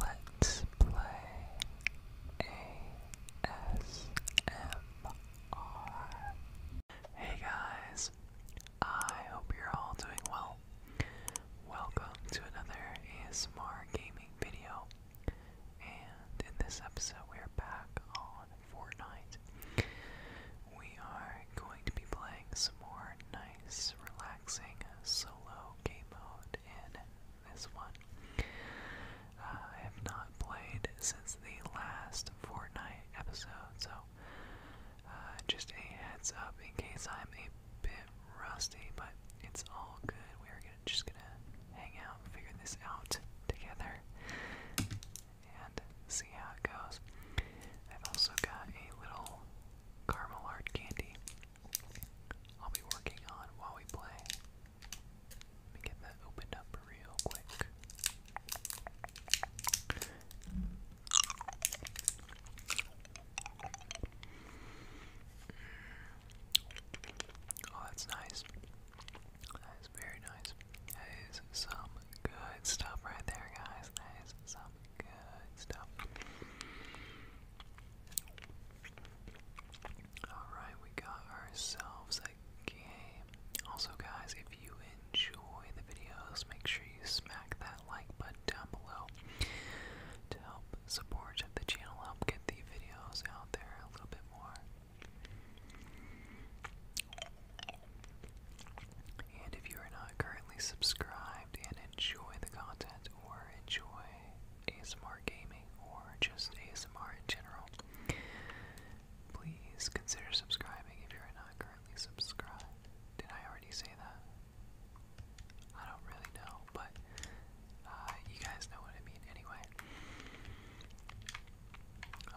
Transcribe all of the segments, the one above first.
Let's play ASMR. Hey guys, I hope you're all doing well. Welcome to another ASMR gaming video. And in this episode, we are back on Fortnite. We are going to be playing some more nice, relaxing solo game mode in this one. Uh, I have not played since the last Fortnite episode, so uh, just a heads up in case I'm a bit rusty, but it's all good. We're just gonna hang out figure this out together and see how it goes. I've also got a little caramel art candy I'll be working on while we play. Let me get that opened up real quick. Oh, that's nice. That is very nice. That is some good stuff right there, guys. That is some Good stuff. Alright, we got ourselves a game. Also, guys, if you enjoy the videos, make sure you smack that like button down below to help support the channel, help get the videos out there a little bit more. And if you are not currently subscribed and enjoy the content or enjoy ASMR gaming or just ASMR in general, please consider subscribing if you're not currently subscribed. Did I already say that? I don't really know, but uh, you guys know what I mean anyway.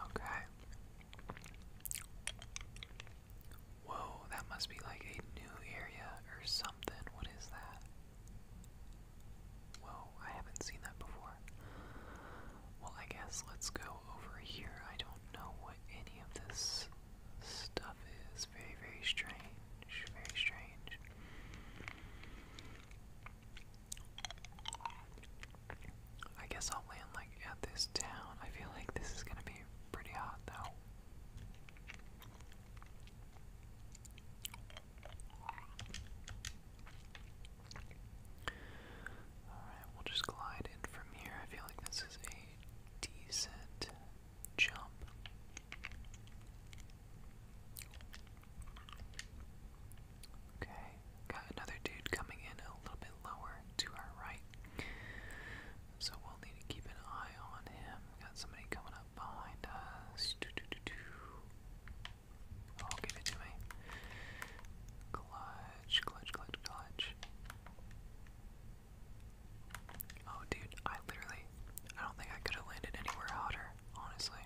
Okay. Whoa, that must be like a new area or something. What is that? Whoa, I haven't seen that before. Well, I guess let's go over here. I don't know what any of this stuff is. Very, very strange. Very strange. I guess I'll land like at this town. I feel like this is gonna be pretty hot though. Alright, we'll just glide in from here. I feel like this is a decent jump. Okay, got another dude coming in a little bit lower to our right. So we'll need to keep an eye on him. We Got somebody coming up behind us. Doo -doo oh, give it to me. Clutch, clutch, clutch, clutch. Oh, dude, I literally, I don't think I could have landed anywhere hotter, honestly.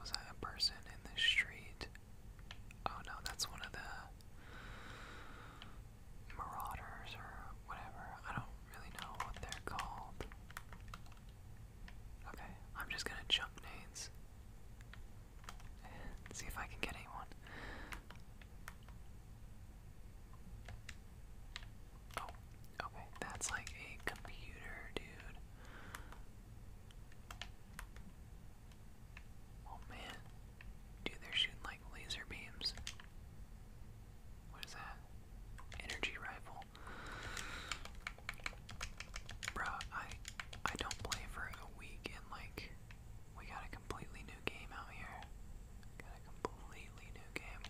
Was that person in the street? Oh no, that's one of the marauders or whatever. I don't really know what they're called. Okay, I'm just gonna jump names. see if I can get anyone. Oh, okay, that's like a computer, dude. Oh man. Dude, they're shooting like laser beams. What is that? Energy rifle. Bruh, I I don't play for a week and like we got a completely new game out here. Got a completely new game.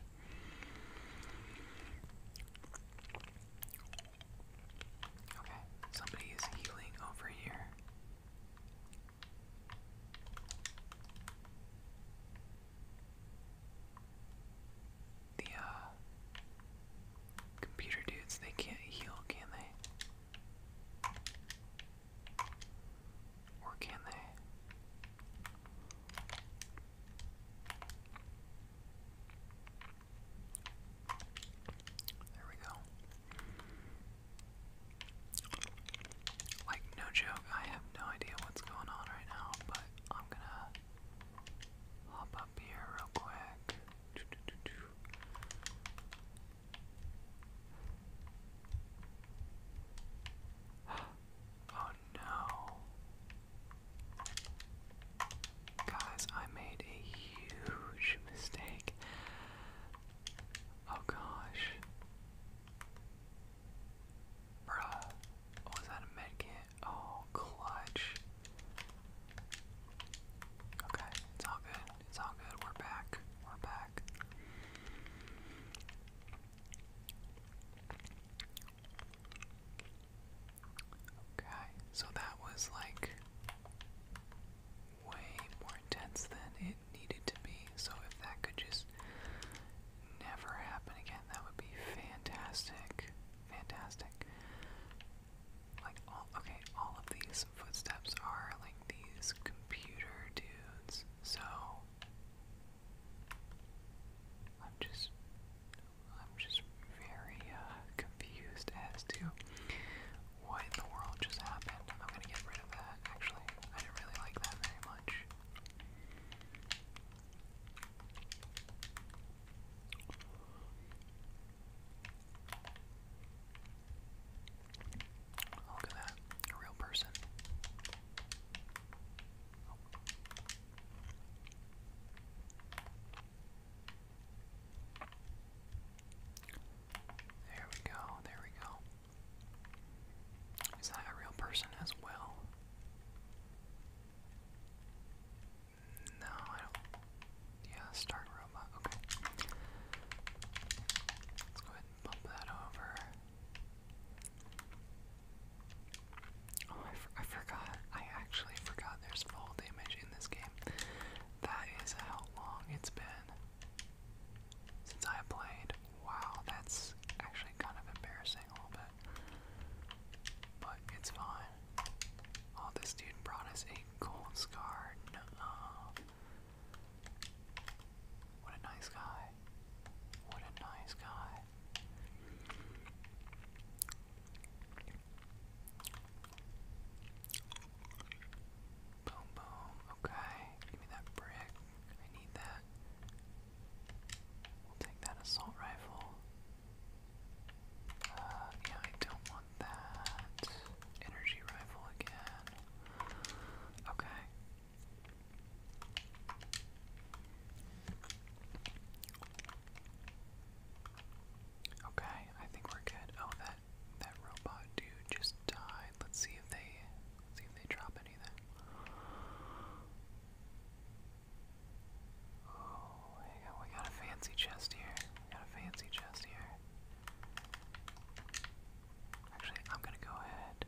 Okay, somebody is healing over here. The uh, computer dudes, they can't heal, can they? Or can they? There we go. Like, no joke, I have no idea what's going on right now, but I'm gonna hop up here real quick. Oh no. Guys, I made a huge mistake. Oh gosh. Bruh. was that a medkit? Oh, clutch. Okay, it's all good. It's all good. We're back. We're back. Okay, so that was like way more intense than it needed to be. So if that could just never happen again, that would be fantastic. Fantastic. Like all okay, all of these footsteps are like these computer dudes. So I'm just I'm just very uh, confused as to what in the world just happened? I'm gonna get rid of that, actually. I didn't really like that very much. Oh, look at that. A real person. Oh. There we go, there we go. Is that a real person as well? No, I don't. Yeah, start robot. Okay. Let's go ahead and bump that over. Oh, I, f I forgot. I actually forgot there's full damage in this game. That is how long it's been since I played. Wow, that's actually kind of embarrassing a little bit. But it's fine. Oh, this dude brought us a gold scar. Um, what a nice guy. What a nice guy. Boom, boom. Okay. Give me that brick. I need that. We'll take that assault rifle. Uh, yeah, I don't want that. Energy rifle again. Okay. Okay, I think we're good. Oh, that robot dude just died. Let's see if they see if they drop anything. Oh, we got a fancy chest here. We got a fancy chest here. Actually, I'm gonna go ahead.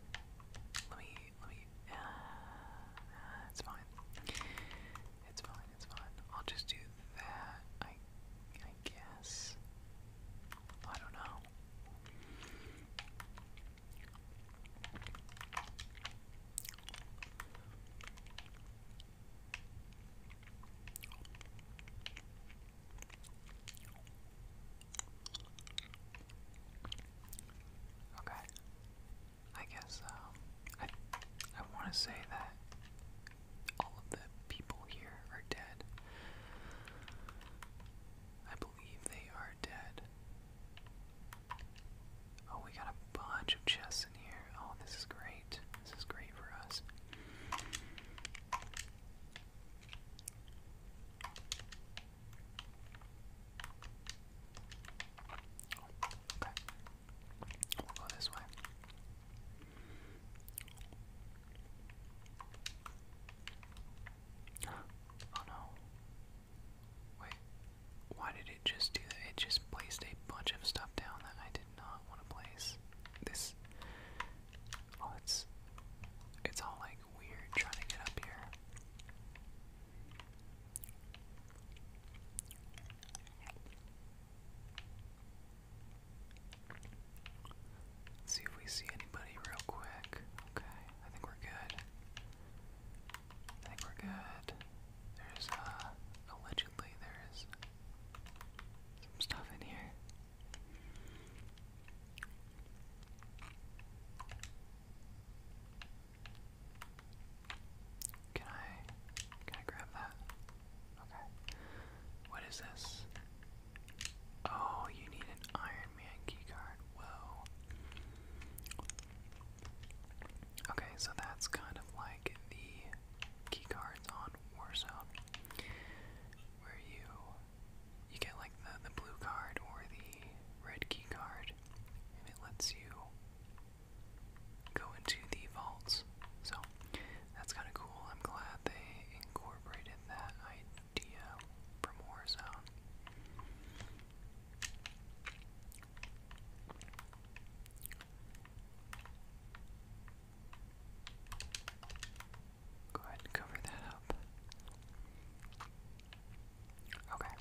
Let me, let me. Uh, uh, it's fine. It's fine, it's fine. I'll just do that, I, I guess. I don't know. Okay. I guess um I I want to say that all of the people here are dead. I believe they are dead. Oh, we got a bunch of chests in here. Oh, this is great. This is great for us. Okay. Oh no. Wait, why did it just do that? It just placed a bunch of stuff down that I did not want to place. This. Oh, it's. It's all like weird trying to get up here. Let's see if we see anybody real quick. Okay, I think we're good. I think we're good. There's, uh, allegedly there's some stuff in here. Can I, can I grab that? Okay. What is this? Oh, you need an Iron Man keycard. Whoa. Okay, so that's kind of like the keycards on Warzone, where you you get like the the blue card or the red keycard, and it lets you go into the vaults. So that's kind of cool. I'm glad they incorporated that idea from Warzone. Go ahead and cover that up. Okay.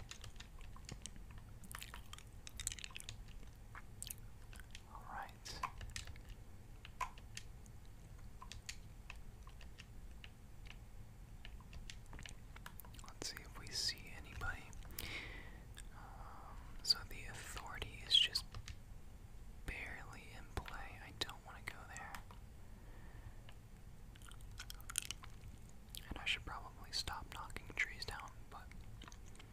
Alright, Let's see if we see anybody. Um, so the authority is just barely in play. I don't want to go there. And I should probably stop knocking trees down, but Okay.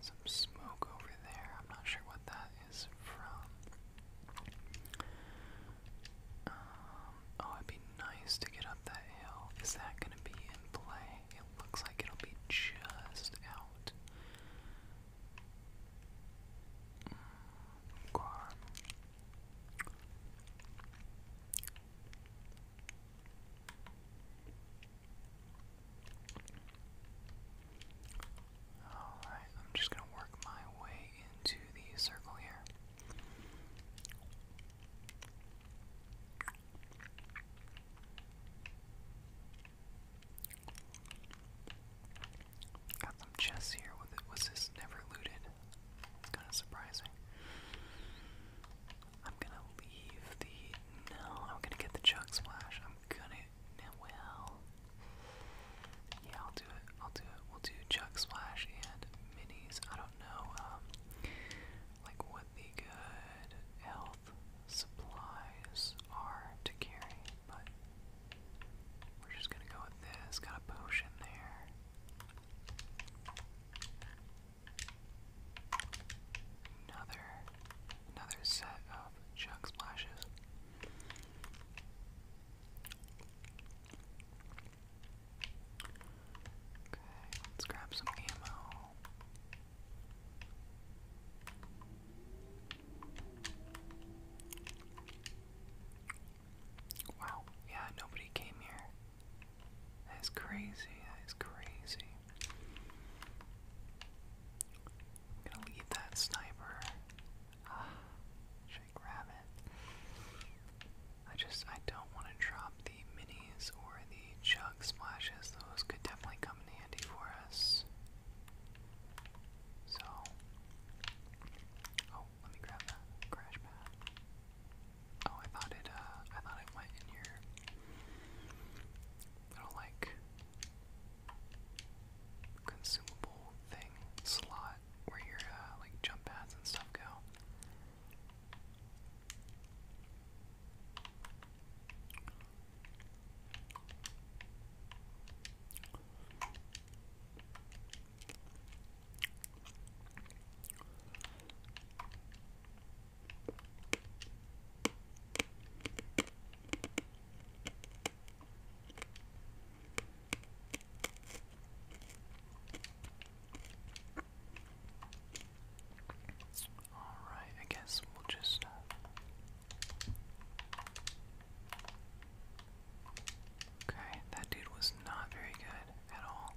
Some smoke over there. I'm not sure what that um, oh, it'd be nice to get up that hill. Is that gonna be in play? It looks like it'll be just out. Mm, Alright, I'm just going to work my way into the circle here. Got some chests here with it. Was this never looted? It's kind of surprising. I'm gonna leave the. No, I'm gonna get the chug splash. I'm gonna well. Yeah, I'll do it. I'll do it. We'll do Chuck Splash and minis. I don't know, um, like what the good health supplies are to carry, but we're just gonna go with this. Got a potion there. Another, another set of Chuck Splashes. Okay, let's grab some ammo. Wow, yeah, nobody came here. That is crazy, that is crazy. gonna leave that sniper Ah, shake rabbit. I just, I don't want to drop the minis or the jug splashes. Those could definitely come in handy for us. So, oh, let me grab that crash pad. Oh, I thought it, uh, I thought it went in your I like consumable thing slot where your uh, like jump pads and stuff go. Alright, I guess we'll just. Uh, okay, that dude was not very good at all.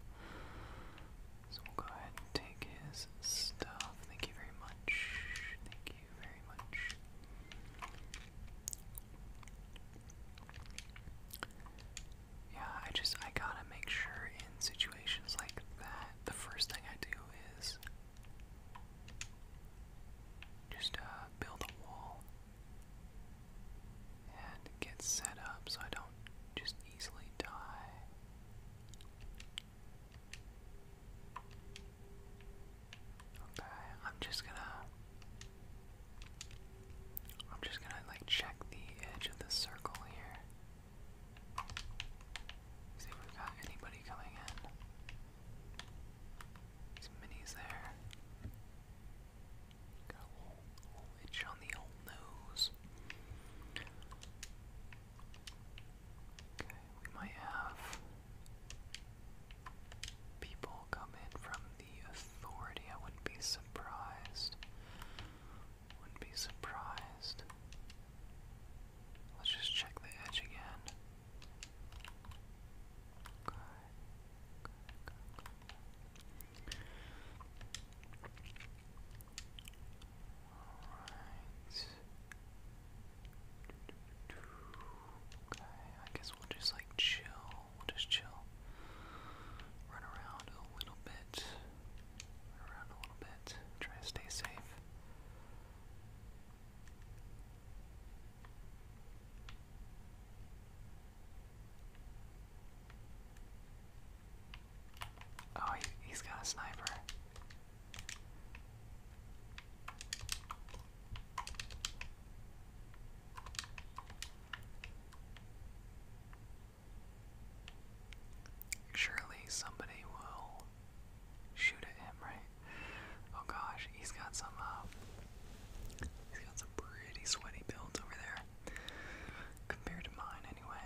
So we'll go ahead and take his stuff. Thank you very much. Thank you. Yeah, I just, I gotta make sure in situations like that, the first thing I do is just uh, build a wall and get set up so I don't just easily die. Okay, I'm just gonna I'm just gonna like check the edge of the circle here. See if we've got anybody coming in. These there. Got a little, itch on the old nose we might have people come in from the authority. I wouldn't be surprised. Wouldn't be surprised. Let's just check the edge again. Okay. Alright. Okay, I guess we'll just like chill. We'll just chill. Run around a little bit. around a little bit. Try to stay safe. Oh, he's got a sniper. Surely somebody will shoot at him, right? Oh gosh, he's got some uh, he's got some pretty sweaty builds over there. Compared to mine anyway.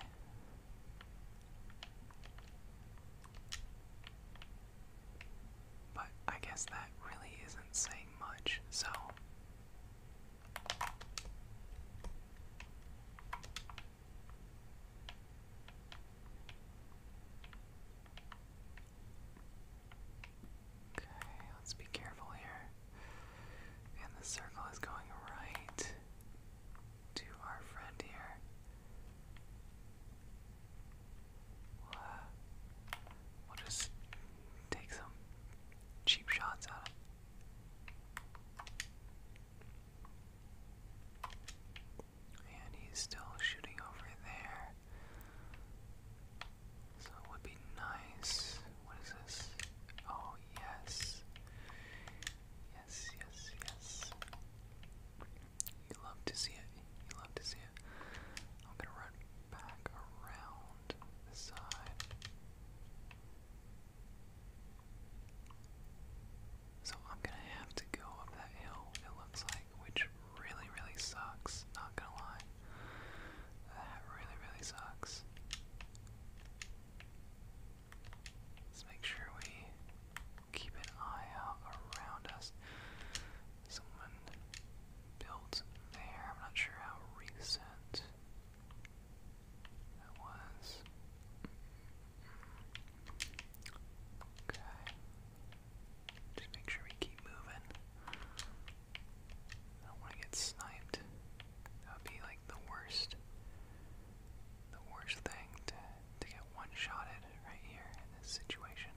But I guess that really isn't saying much, so. Okay, let's be careful here. And the circle is going right to our friend here. We'll, just take some cheap shots at it. And he's still shooting over there. So it would be nice. What is this? Oh, yes. Yes, yes, yes. You love to see it. You love to see it. I'm gonna run back around the side. So I'm gonna have to go up that hill, it looks like, which really, really sucks. Not gonna lie. That really, really sucks. Let's make sure we keep an eye out around us. Someone built there. I'm not sure how recent that was. Okay. Just make sure we keep moving. I don't want to get sniped. That would be like the worst. The worst thing to to get one shot right here in this situation.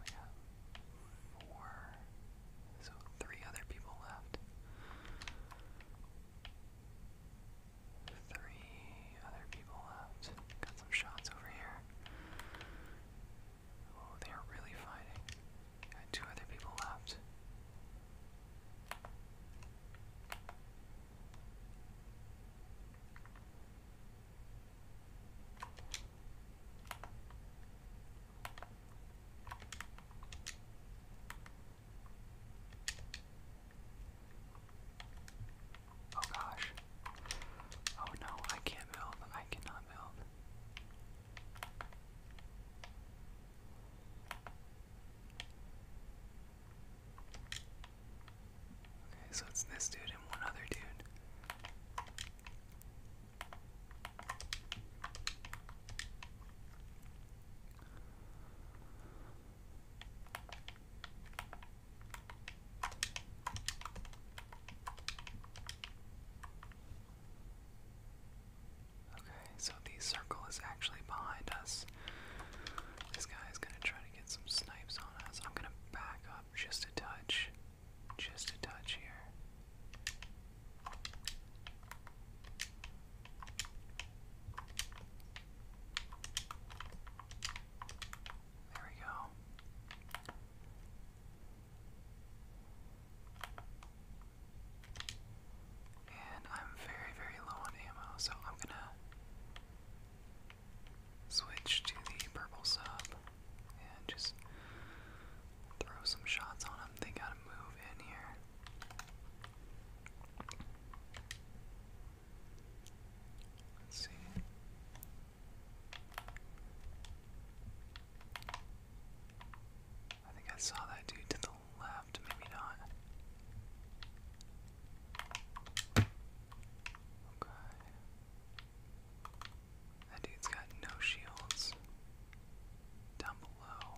we got four, so three other people left. Three other people left. Got some shots over here. Oh, they are really fighting two other people left. Oh gosh. Oh no, I can't build. I cannot build. Okay, so it's this dude and one other dude. Okay, so the circle is actually behind us. This guy is gonna try to get some snipes on us. I'm gonna back up just a touch. Just a touch here. There we go. And I'm very, very low on ammo, so I'm gonna switch to the purple sub and just throw some shots on them. They gotta move in here. Let's see. I think I saw that dude to the left, maybe not. Okay. That dude's got no shields. Down below.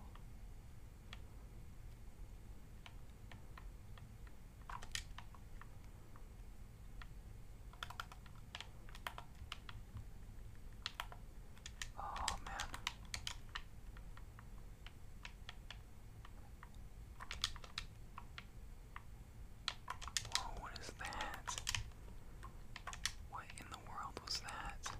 Oh man. Whoa, what is that? What in the world was that?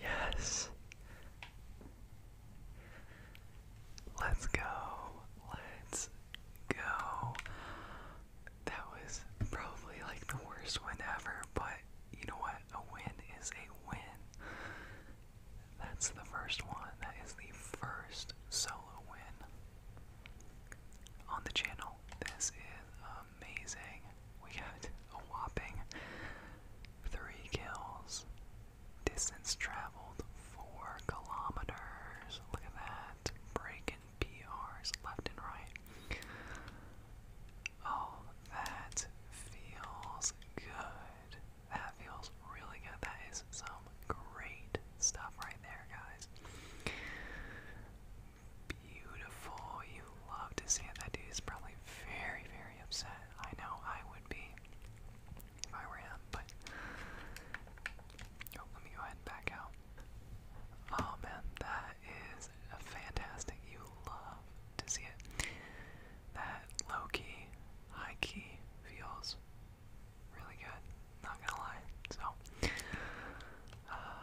Yes. Let's go. Let's go. That was probably like the worst win ever, but you know what? A win is a win. That's the first one. That is the first solo win on the channel. This is amazing. We got a whopping three kills. Distance traveled four kilometers. Look at that. Breaking PRs left and right. Oh, that feels good. That feels really good. That is some great stuff right there, guys. Beautiful. You love to see it. That dude is probably very, very upset. I know I would be if I were him, but. Oh, let me go ahead and back out. Oh man, that is fantastic. You love to see it. That low key, high key feels really good. Not gonna lie. So, uh,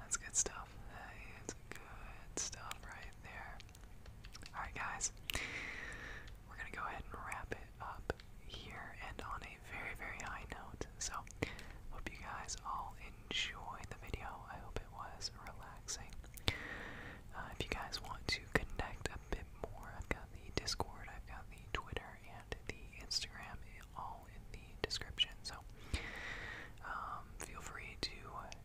that's good stuff. That is good stuff right there. Alright, guys, we're gonna go ahead and wrap it up here and on a very, very high note. So, hope you guys all enjoyed the video. I hope it was relaxing. Uh, if you guys want to connect a bit, more. I've got the Discord, I've got the Twitter, and the Instagram eh, all in the description. So um, feel free to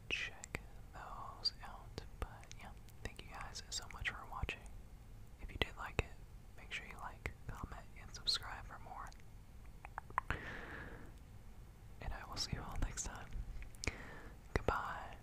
check those out. But yeah, thank you guys so much for watching. If you did like it, make sure you like, comment, and subscribe for more. And I will see you all next time. Goodbye.